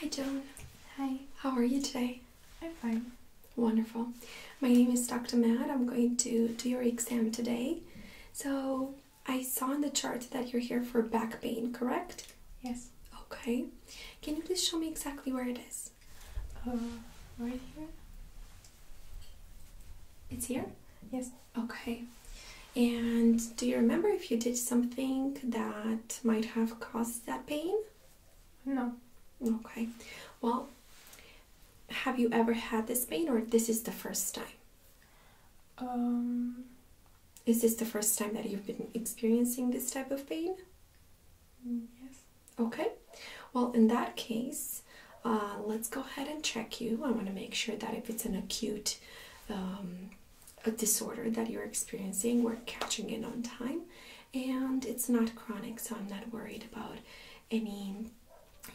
Hi, Joan. Hi, how are you today? I'm fine. Wonderful. My name is Dr. Matt. I'm going to do your exam today. So, I saw on the chart that you're here for back pain, correct? Yes. Okay. Can you please show me exactly where it is? is uh, right here. It's here? Yes. Okay. And do you remember if you did something that might have caused that pain? No. Okay. Well, have you ever had this pain or this is the first time? Um, is this the first time that you've been experiencing this type of pain? Yes. Okay, well, in that case, uh, let's go ahead and check you. I want to make sure that if it's an acute um, disorder that you're experiencing, we're catching it on time and it's not chronic, so I'm not worried about any.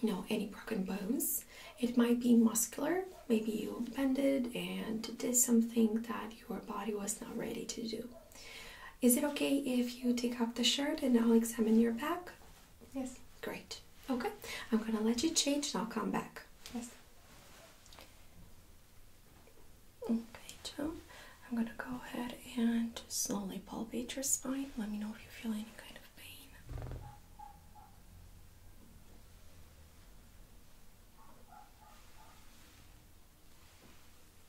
You know, any broken bones. It might be muscular, maybe you bended and did something that your body was not ready to do. Is it okay if you take off the shirt and I'll examine your back? Yes. Great. Okay. I'm gonna let you change and I'll come back. Yes. Okay, Joe. I'm gonna go ahead and slowly palpate your spine. Let me know if you feel any kind of pain.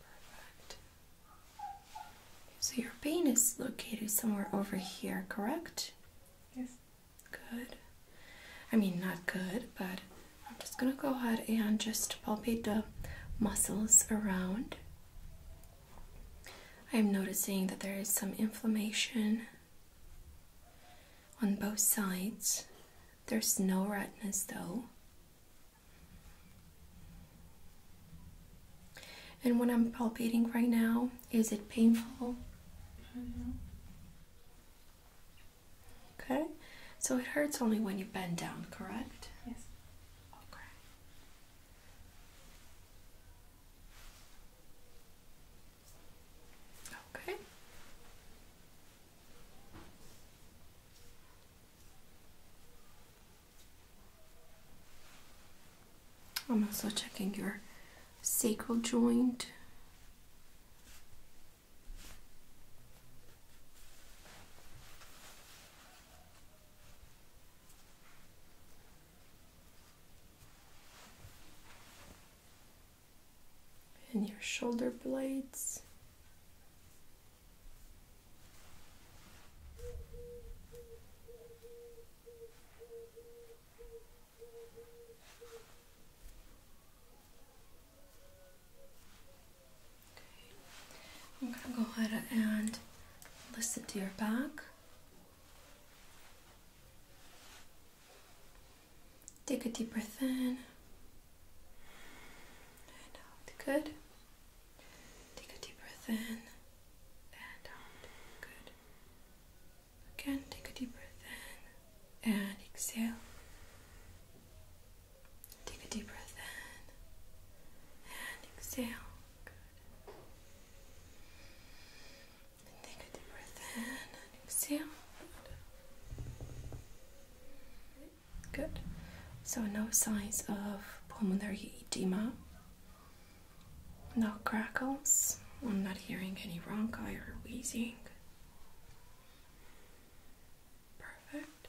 Perfect. So your pain is located somewhere over here, correct? Yes. Good. I mean, not good, but I'm just going to go ahead and just palpate the muscles around. I am noticing that there is some inflammation on both sides there's no redness though. And when I'm palpating right now, is it painful? Okay, so it hurts only when you bend down, correct? Yes. Okay. Okay. I'm also checking your sacral joint and your shoulder blades. I'm going to go ahead and listen to your back. Take a deep breath in and out. Good. Take a deep breath in and out. Good. Again, take a deep breath in and exhale. Take a deep breath in and exhale. take a deep breath in and exhale. Good. So, no signs of pulmonary edema, no crackles. I'm not hearing any ronchi or wheezing. Perfect.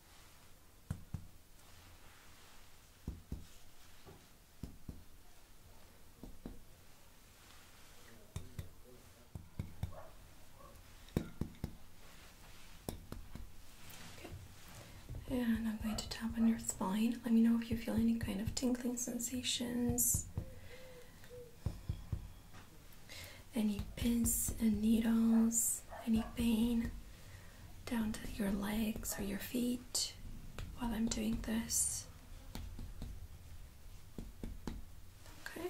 And I'm going to tap on your spine. Let me know if you feel any kind of tingling sensations any pins and needles, any pain down to your legs or your feet while I'm doing this. Okay.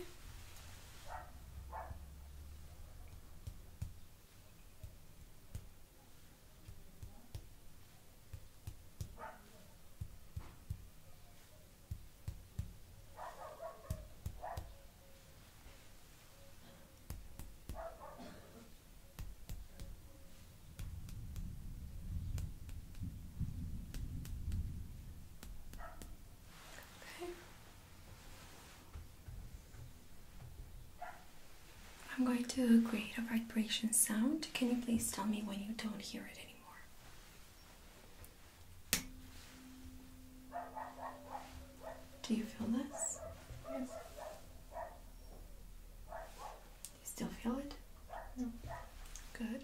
I'm going to create a vibration sound. Can you please tell me when you don't hear it anymore? Do you feel this? Yes. Do you still feel it? No. Good.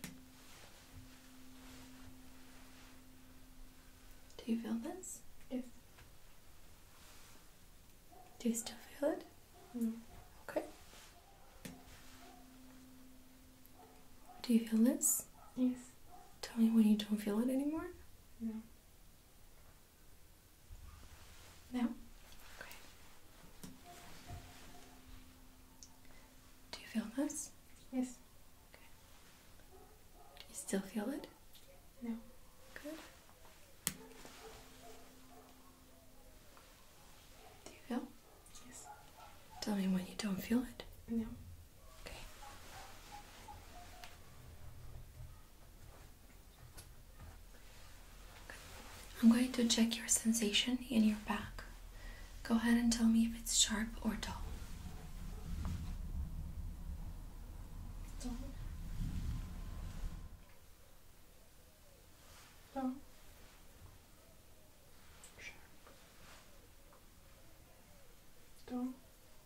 Do you feel this? Yes. Do you still feel it? No. Okay. Do you feel this? Yes. Tell me when you don't feel it anymore. No. No? Okay. Do you feel this? Yes. Okay. Do you still feel it? No. Good. Do you feel? Yes. Tell me when you don't feel it. No. I'm going to check your sensation in your back. Go ahead and tell me if it's sharp or dull. Dull. Dull. Sharp. Dull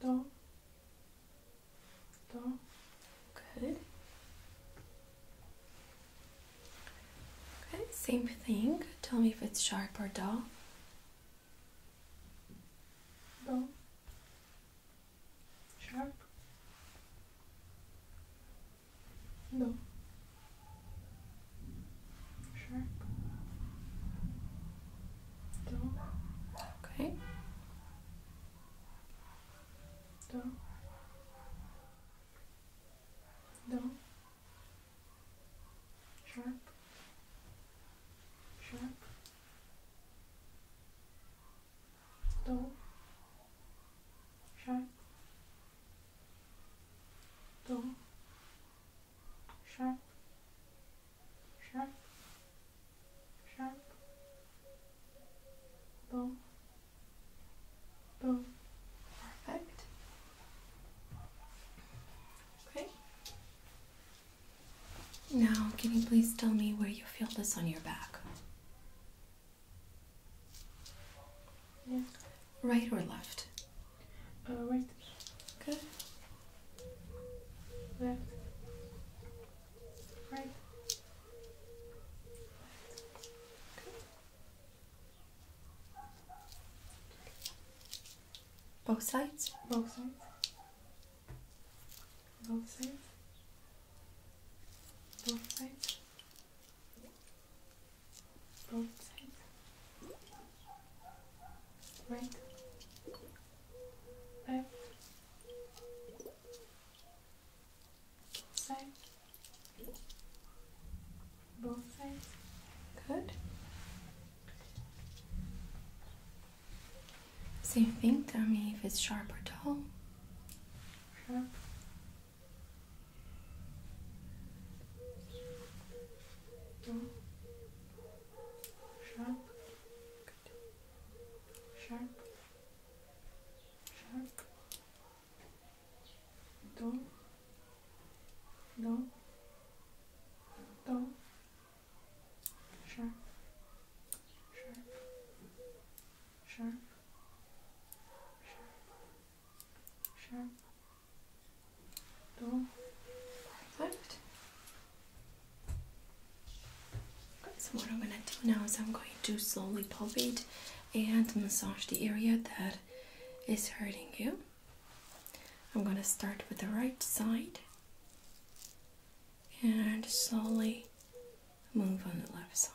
Dull. down. Good. Okay, same thing. Tell me if it's sharp or dull. Dull. Sharp. Dull. Sharp. Do. Okay. Do. Do. Sharp. Sharp. Do. Sharp. Do sharp, sharp, sharp, boom, boom. Perfect. Okay. Now, can you please tell me where you feel this on your back? Right or left? Alright. Oh, Good. Left. Right. Left. Both sides? Both sides. Both sides. Both sides. Both sides right, left, side, both sides, good. Same thing, I mean, if it's sharp or dull. Dull sharp, good, sharp, sharp, do, do, do, sharp, sharp, sharp, sharp, so what I'm gonna do now is I'm going to slowly palpate and massage the area that is hurting you. I'm gonna start with the right side and slowly move on the left side.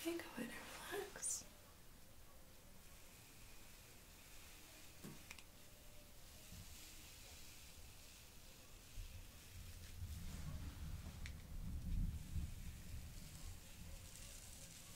Okay, go ahead relax.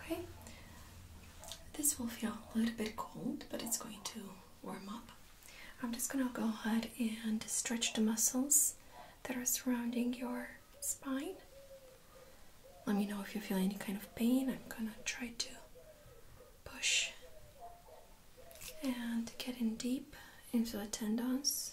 Okay, this will feel a little bit cold, but it's going to warm up. I'm just going to go ahead and stretch the muscles that are surrounding your spine. Let me know if you feel any kind of pain. I'm gonna try to push and get in deep into the tendons.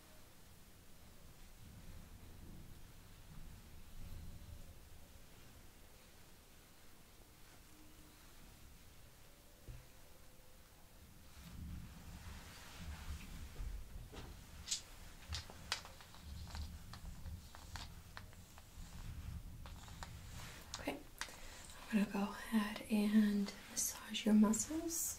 Okay, I'm going to go ahead and massage your muscles.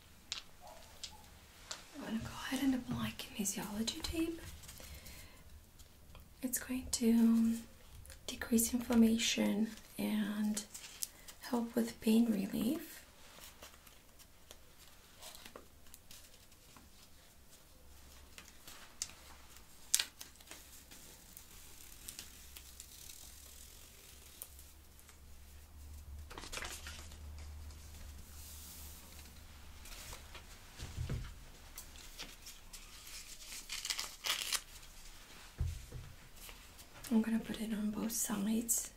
I'm going to go ahead and apply kinesiology tape. It's going to decrease inflammation and help with pain relief. I'm gonna put it on both sides.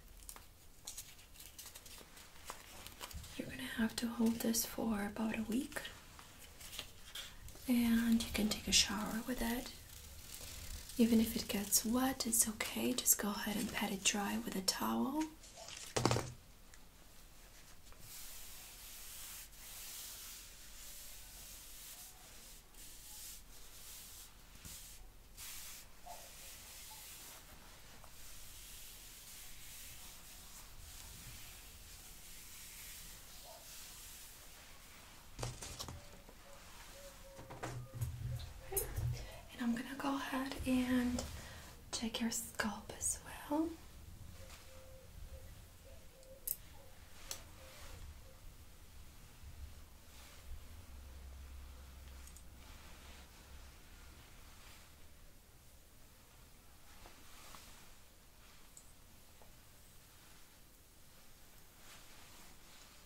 You're gonna have to hold this for about a week and you can take a shower with it. Even if it gets wet, it's okay. Just go ahead and pat it dry with a towel. And I'm gonna go ahead and check your scalp as well.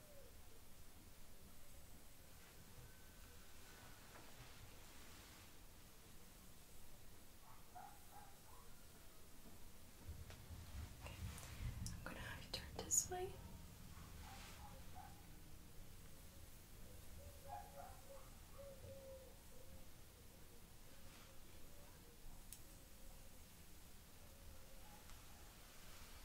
Okay. I'm going to have you turn this way.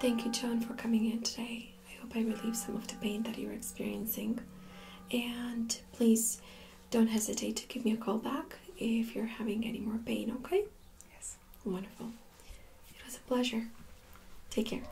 Thank you, John, for coming in today. I hope I relieve some of the pain that you're experiencing. And please don't hesitate to give me a call back if you're having any more pain, okay? Yes. Wonderful. It was a pleasure. Take care.